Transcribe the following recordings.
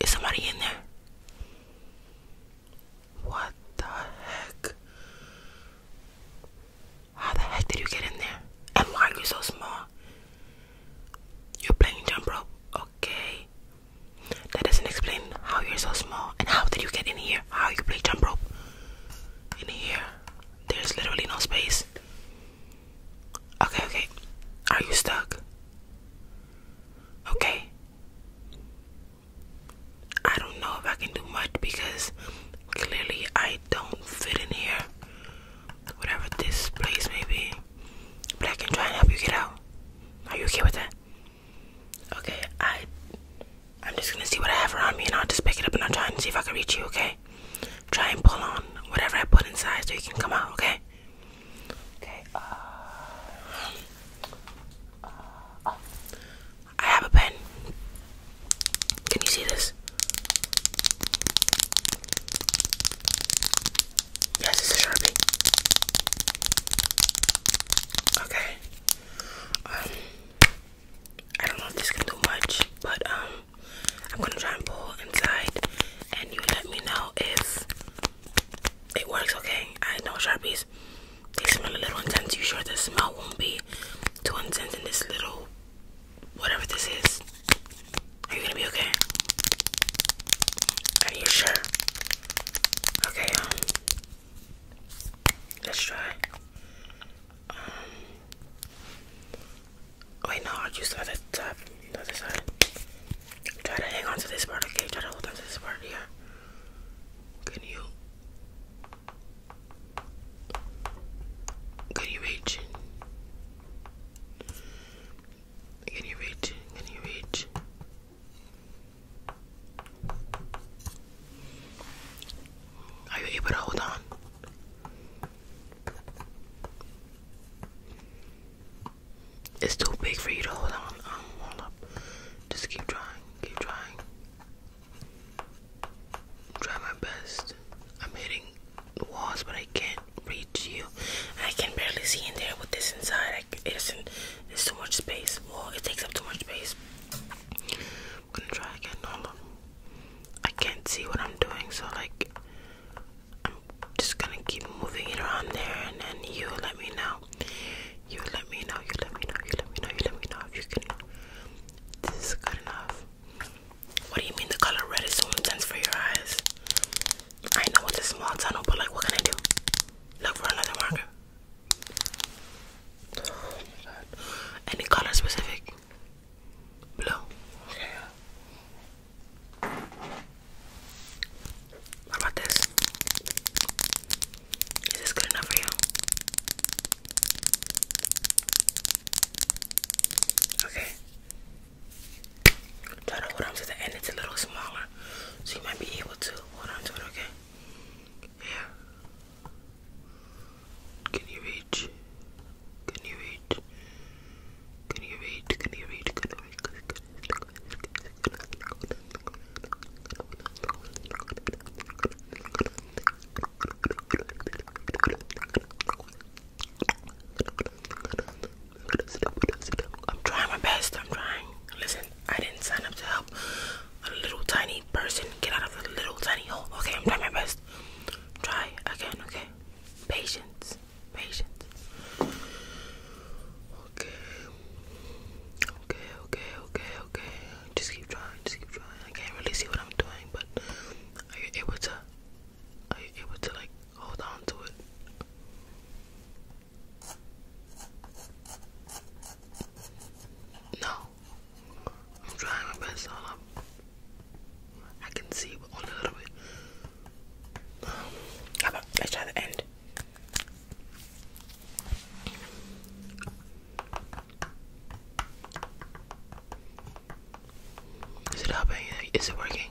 Is somebody in there? What the heck? How the heck did you get in there? And why are you so small? You're playing jump rope. Okay. That doesn't explain how you're so small. And how did you get in here? how you play jump rope in here there's literally no space okay okay are you stuck okay I don't know if I can do much because clearly I don't fit in here whatever this place may be but I can try and help you get out are you okay with that Okay, I I'm just gonna see what I have around me and I'll just pick it up and I'll try and see if I can reach you, okay? Try and pull on whatever I put inside so you can come out, okay? Okay, uh, uh, uh I have a pen. Can you see this? Yes, it's a Sharpie. Okay. Um, I don't know if this can do much, but um, I'm gonna try and pull inside, and you let me know if it works. Okay, I know sharpies. They smell a little intense. You sure the smell won't be too intense in this little whatever this is? Are you gonna be okay? Are you sure? Okay, um, Let's try. Um, wait, no, I'll use the top, the other side. Try to hang on to this part, okay? Try to hold on to this part, yeah. Can you? Can you reach? Can you reach? Can you reach? Are you able to hold on? It's too big for you to hold on. Um, hold up. Just keep trying. Keep trying. Try my best. I'm hitting the walls, but I can't reach you. I can barely see in there with this inside it too much space. Well it takes up too much space. I'm gonna try again. I can't see what I'm doing so like I'm just gonna keep moving it around there and then you let me know. You let me know, you let me know, you let me know, you let me know if you can this is good enough. What do you mean the color red is so intense for your eyes? I know it's a small tunnel, but like what can I do? Look for another marker. Any color specific? Blue. Okay. about this? Is this good enough for you? Okay. Try to hold on to the end, it's a little smaller. So you might be able to hold on to it, okay? Yeah. Can you reach? Can you reach? Can you reach? Can you reach? Can you reach? Can I'm trying my best. I'm trying. Listen, I didn't sign up to help a little tiny person get out of a little tiny hole. Okay, I'm trying my best. Try again, okay? Patience. Patience. Okay. Okay, okay, okay, okay. Just keep trying, just keep trying. I can't really see what I'm doing, but are you able to are you able to like hold on to it? No, I'm trying my best. I can see, but only a little bit. how about let's try the end. Is it happening? Is it working?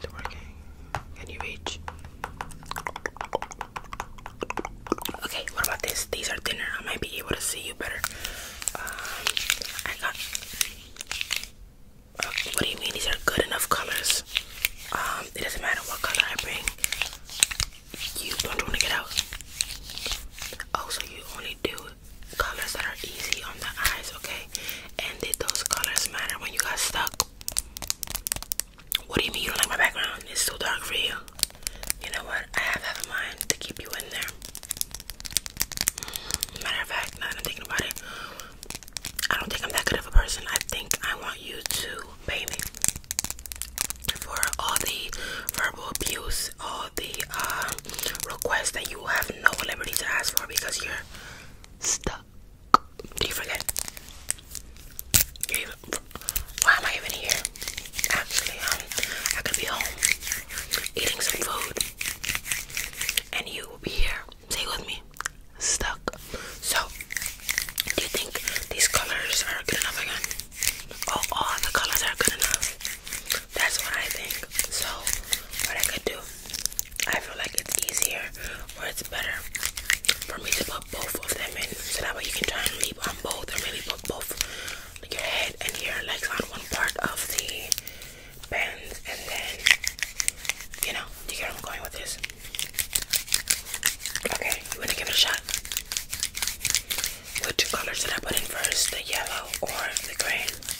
It's working. Can you reach? Okay, what about this? These are thinner. I might be able to see you better. Um, I got. what do you mean these are good enough colors? Um, it doesn't matter what color I bring. You don't want to get out. Oh, so you only do colors that are easy on the eyes, okay? And did those colors matter when you got stuck? What do you mean you don't like my background? It's too dark for you. You know what? I have half a mind to keep you in there. Mm-hmm. Matter of fact, now that I'm thinking about it, I don't think I'm that good of a person. I think I want you to pay me for all the verbal abuse, all the uh, requests that you have no liberty to ask for because you're stuck. Do you forget? why am I even here? Actually, um, I could be home eating some food, and you will be here. Stay with me. Stuck. So, do you think these colors are good enough again? Oh, all the colors are good enough. That's what I think. So, what I could do I feel like it's easier or it's better for me to put both of them in so that way you can try and leap on both or really put both like your head and your legs on one part of the bands and then you know do you hear where I'm going with this. Okay, you wanna give it a shot? Which colors should I put in first? The yellow or the green?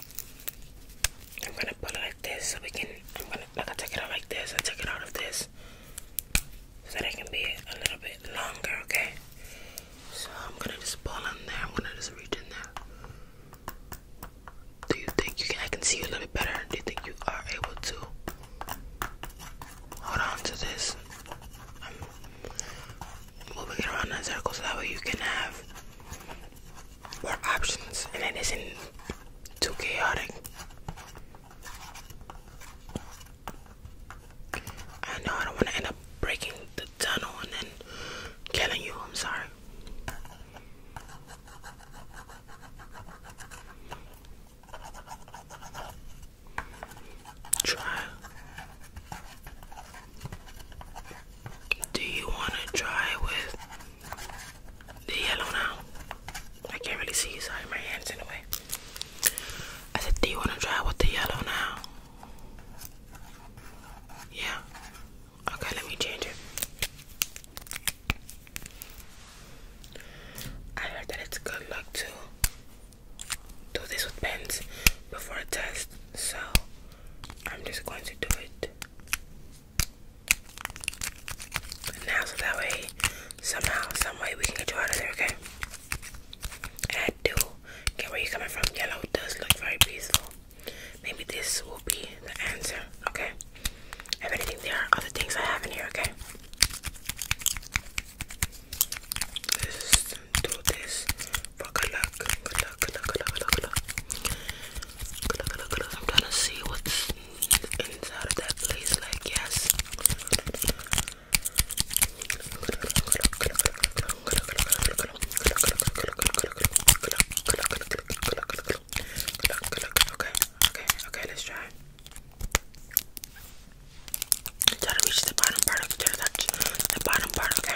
I'm gonna put it like this so we can. I'm gonna take it out like this. I take it out of this so that it can be a little bit longer. Okay. So I'm gonna just pull in there. I'm gonna just reach in there. Do you think you can? I can see you a little bit better. Do you think you are able to hold on to this? I'm moving it around in circles so that way you can have more options and it isn't too chaotic. I know I don't want to end up breaking the tunnel and then killing you. I'm sorry. Try. Do you want to try with they yellow now. I can't really see, sorry, my hand's in the way. I said, do you want to try with the yellow now? Yeah. Okay, let me change it. I heard that it's good luck to do this with pens before a test, so I'm just going to do it now so that way somehow some way we can get you out of there okay and I do where you coming from yellow does look very peaceful maybe this will be the answer okay if anything there are other things I have in here okay let do this for good luck good luck good luck good luck good luck I'm trying to see what's inside of that place. Like, yes. Okay, okay, let's try. Try to reach the bottom part of the, the bottom part, okay?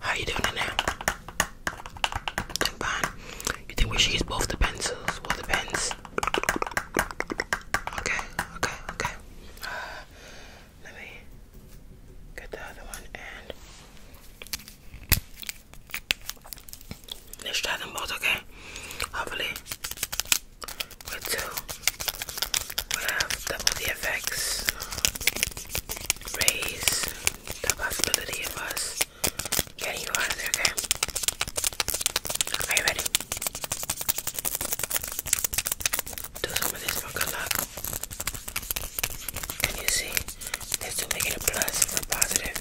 How you doing now? Doing fine. You think we should use both the pencils or the pens? Okay, okay, okay. Let me get the other one and let's try them both, okay? Hopefully, with two, have double the effects, raise the possibility of us getting you out of there, okay? Are you ready? do some of this for luck. Can you see? This to make it a plus or positive.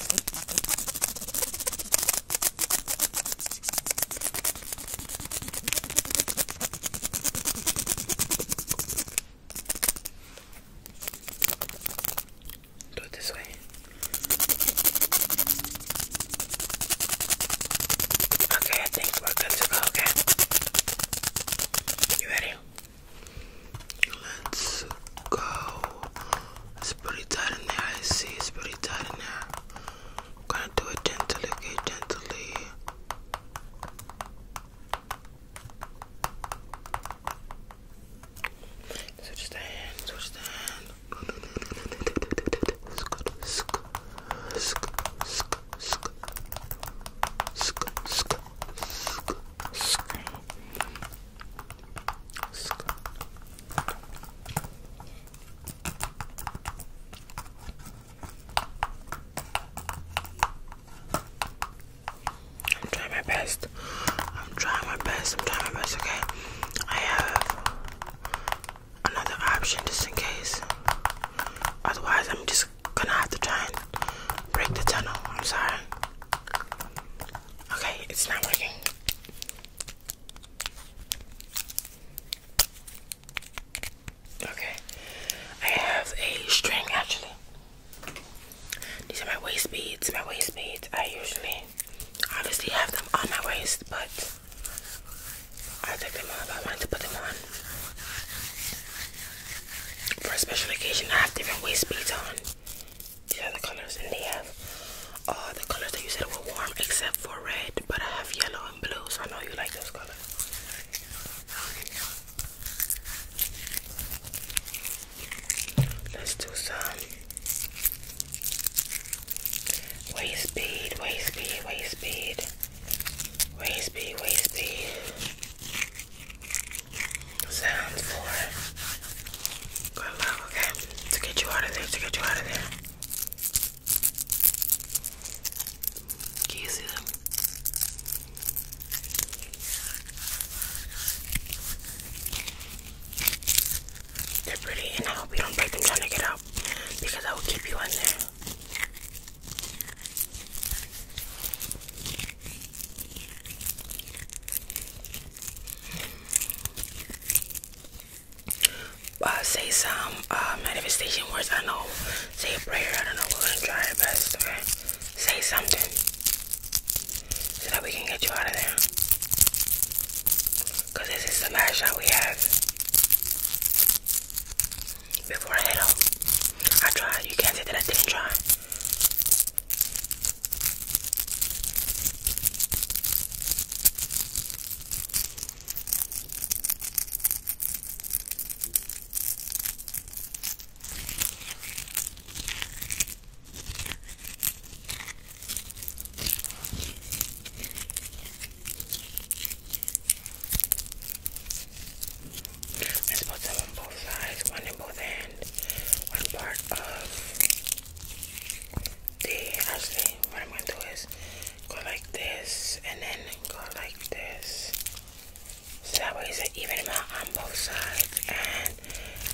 Do it this way. Okay, I think we're good to go, okay? You ready? Let's go. It's pretty tight in there, I see. It's pretty tight in there. I'm gonna do it gently, okay? Gently. Switch the hand, switch the hand. Sk, sk, sk, sk. I'm trying my best. I'm trying my best. I'm trying my best. Okay, I have another option just in case. Otherwise, I'm just gonna have to try and break the tunnel. I'm sorry. Okay, it's not working. Okay, I have a string actually. These are my waist beads. My waist beads. I usually obviously have them on my waist, but I'll them off. I wanted to put them on. For a special occasion, I have different waist beads on. These are the colors, and they all uh, the colors that you said were warm except for red, but I have yellow and blue, so I know you like those colors. Let's do some waist bead, waist bead, waist bead. Waste B, waste B. Sounds for good luck, okay? To get you out of there, to get you out of there. Can you see them? They're pretty, and I hope you don't break them trying to get out because I will keep you in there. Uh, say some uh, manifestation words. I know. Say a prayer. I don't know. We're gonna try our best. Say something so that we can get you out of there. Cause this is the last shot we have before I head out. I tried. You can't say that I didn't try. Let's put them on both sides, one in both hands, one part of the actually what I'm gonna do is go like this and then go like this. So that way it's an even amount on both sides and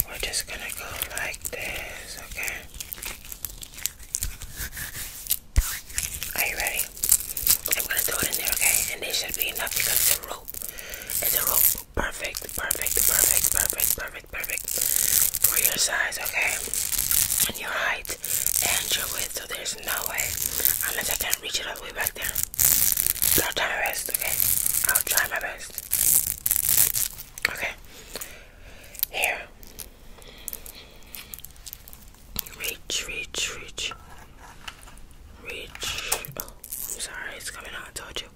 we're just gonna go like this, okay? Are you ready? I'm gonna throw it in there, okay? And they should be enough because it's a rope. It's a rope. Perfect, perfect, perfect, perfect, perfect, perfect. For your size, okay? And your height and your width. So there's no way. Unless I can reach it all the way back there. But I'll try my best, okay? I'll try my best. Okay. Here. Reach, reach, reach. Reach. Oh, I'm sorry, it's coming out. I told you.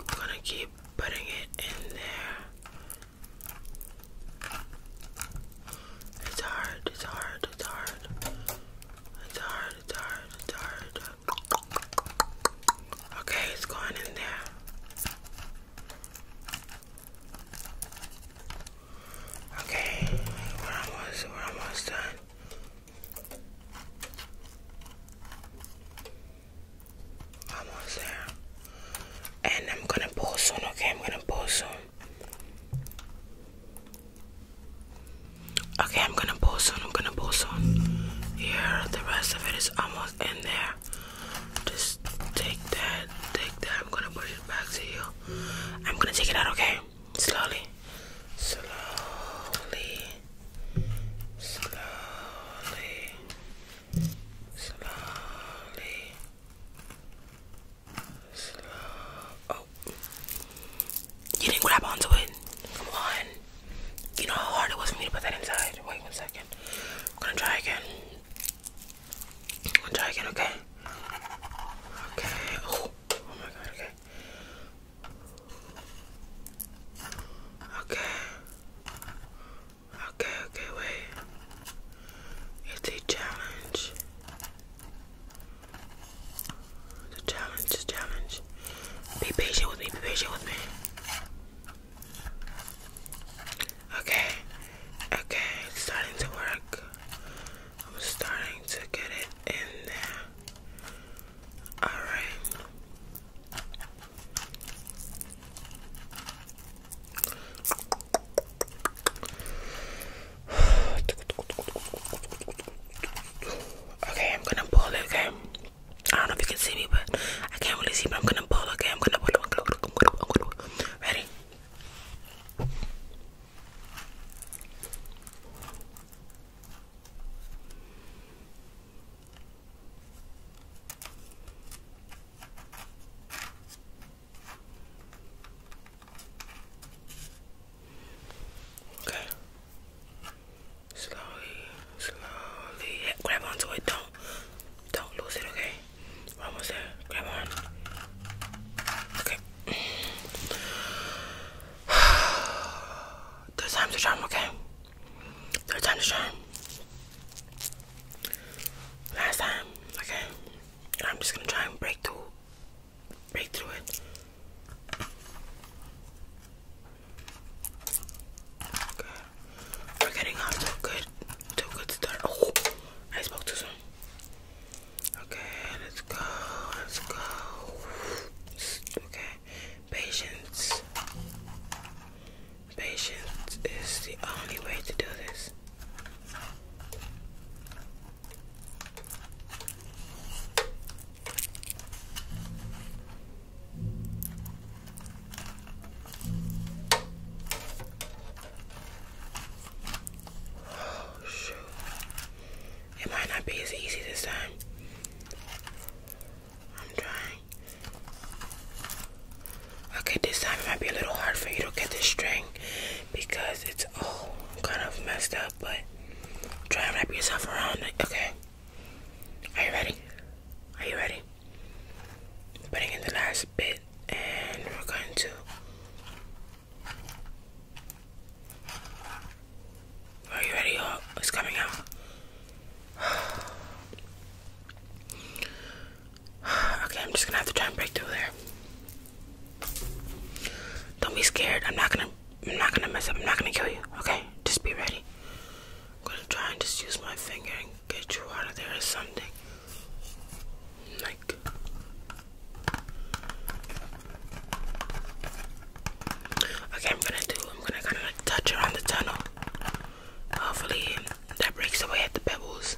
I'm gonna keep putting it in there. It's hard, it's hard, it's hard. It's hard, it's hard, it's hard. Okay, it's going in there. Okay, we're almost, done. Almost there. And I'm gonna pull soon, okay? I'm gonna pull soon. Okay, I'm gonna pull soon, I'm gonna pull soon. Here, the rest of it is almost in there. Just take that, take that. I'm gonna push it back to you. I'm gonna take it out, okay? Slowly, slowly, slowly, slowly, Oh, you didn't grab onto it. Come on. You know how hard it was for me to put that inside. Wait one second. I'm gonna try again try again, okay? Okay. Oh, oh, my god, okay. Okay. Okay, okay, wait. It's a challenge. The challenge is challenge. Be patient with me, be patient with me. Okay, okay, it's starting to work. I'm starting to get it in there. Alright. Okay, I'm gonna pull it, okay? I don't know if you can see me, but I can't really see, but I'm gonna pull, okay? I'm gonna pull, I'm gonna pull, I'm gonna pull. Ready? Okay. Slowly, slowly. Yeah, grab onto it. Don't, don't lose it. Okay. One there. Grab one. Okay. Third time's a charm, okay? Third time's a charm. Last time, okay? I'm just gonna try and break through break through it. Okay. We're getting off to a good, to a good start. Oh, I spoke too soon. Okay, let's go. Let's go. Okay, patience. Patience is the only way to do this. Oh, shoot. It might not be as easy this time. I'm trying. Okay, this time it might be a little hard for you to get the string because it's all kind of messed up, but try and wrap yourself around it. Okay. Are you ready? Are you ready? putting in the last bit and we're going to are you ready? Oh, it's coming out. okay, I'm just gonna have to try and break through there. Don't be scared. I'm not gonna. I'm not gonna mess up. I'm not gonna kill you. Okay, just be ready. I'm gonna try and just use my finger and get you out of there or something. Okay, I'm gonna do I'm gonna kinda like touch around the tunnel. Hopefully that breaks away at the pebbles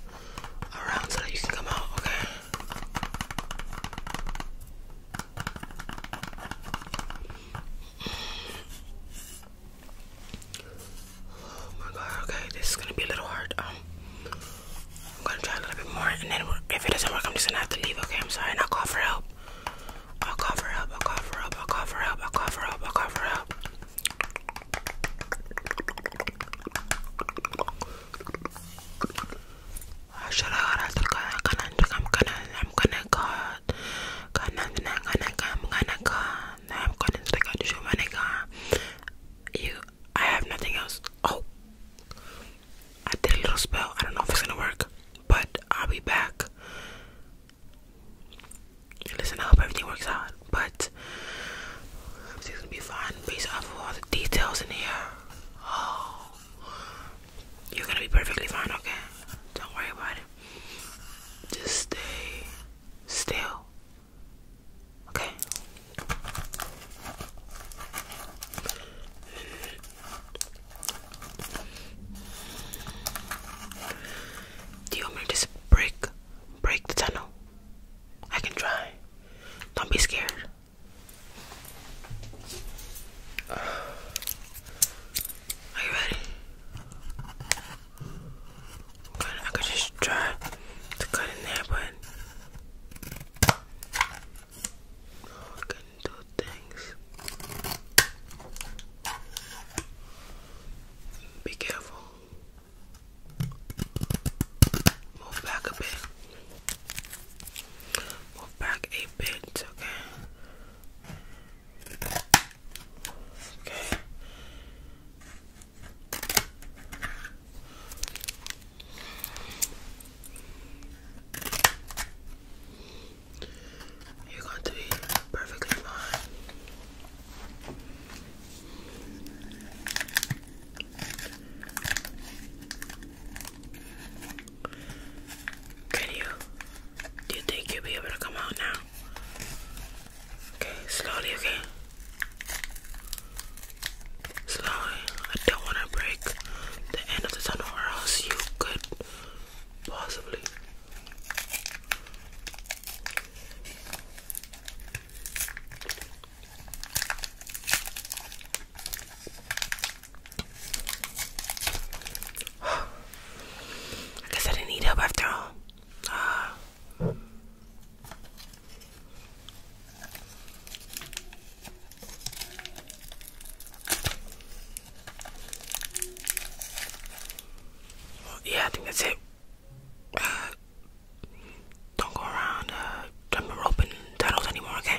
around so that you can come out, okay? Oh my god, okay, this is gonna be a little hard. Um, I'm gonna try a little bit more, and then if it doesn't work, I'm just gonna have to leave, okay? I'm sorry, and I'll call for help. I'll call for help, I'll call for help, I'll call for help, I'll call for help, I'll call for help. Ah, I'm gonna God, I'm gonna God, I'm gonna God. I'm going to speak on show, my nigga. You, I have nothing else. Oh, I did a little spell. I don't know if it's gonna work, but I'll be back. Listen, I hope everything works out, but everything's gonna be fine based off of all the details in here. Oh, you're gonna be perfectly fine, okay? Don't worry about it. Just stay still Okay. Do you want me to just break break the tunnel? I can try. Don't be scared. Are you ready? God, I could just try to cut in there, but I could do things. Be careful. Move back a bit. Move back a bit, okay? Okay. You're going to be perfectly fine. Can you? Do you think you'll be able to come out now? Okay, slowly, okay? Slowly. I don't want to break the end of the tunnel or else you could possibly. I guess I didn't need help after all. Uh, yeah, I think that's it. Uh, don't go around uh, jumping rope and titles anymore, okay?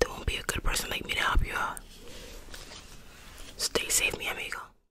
There won't be a good person like me to help you Stay safe, mi amigo.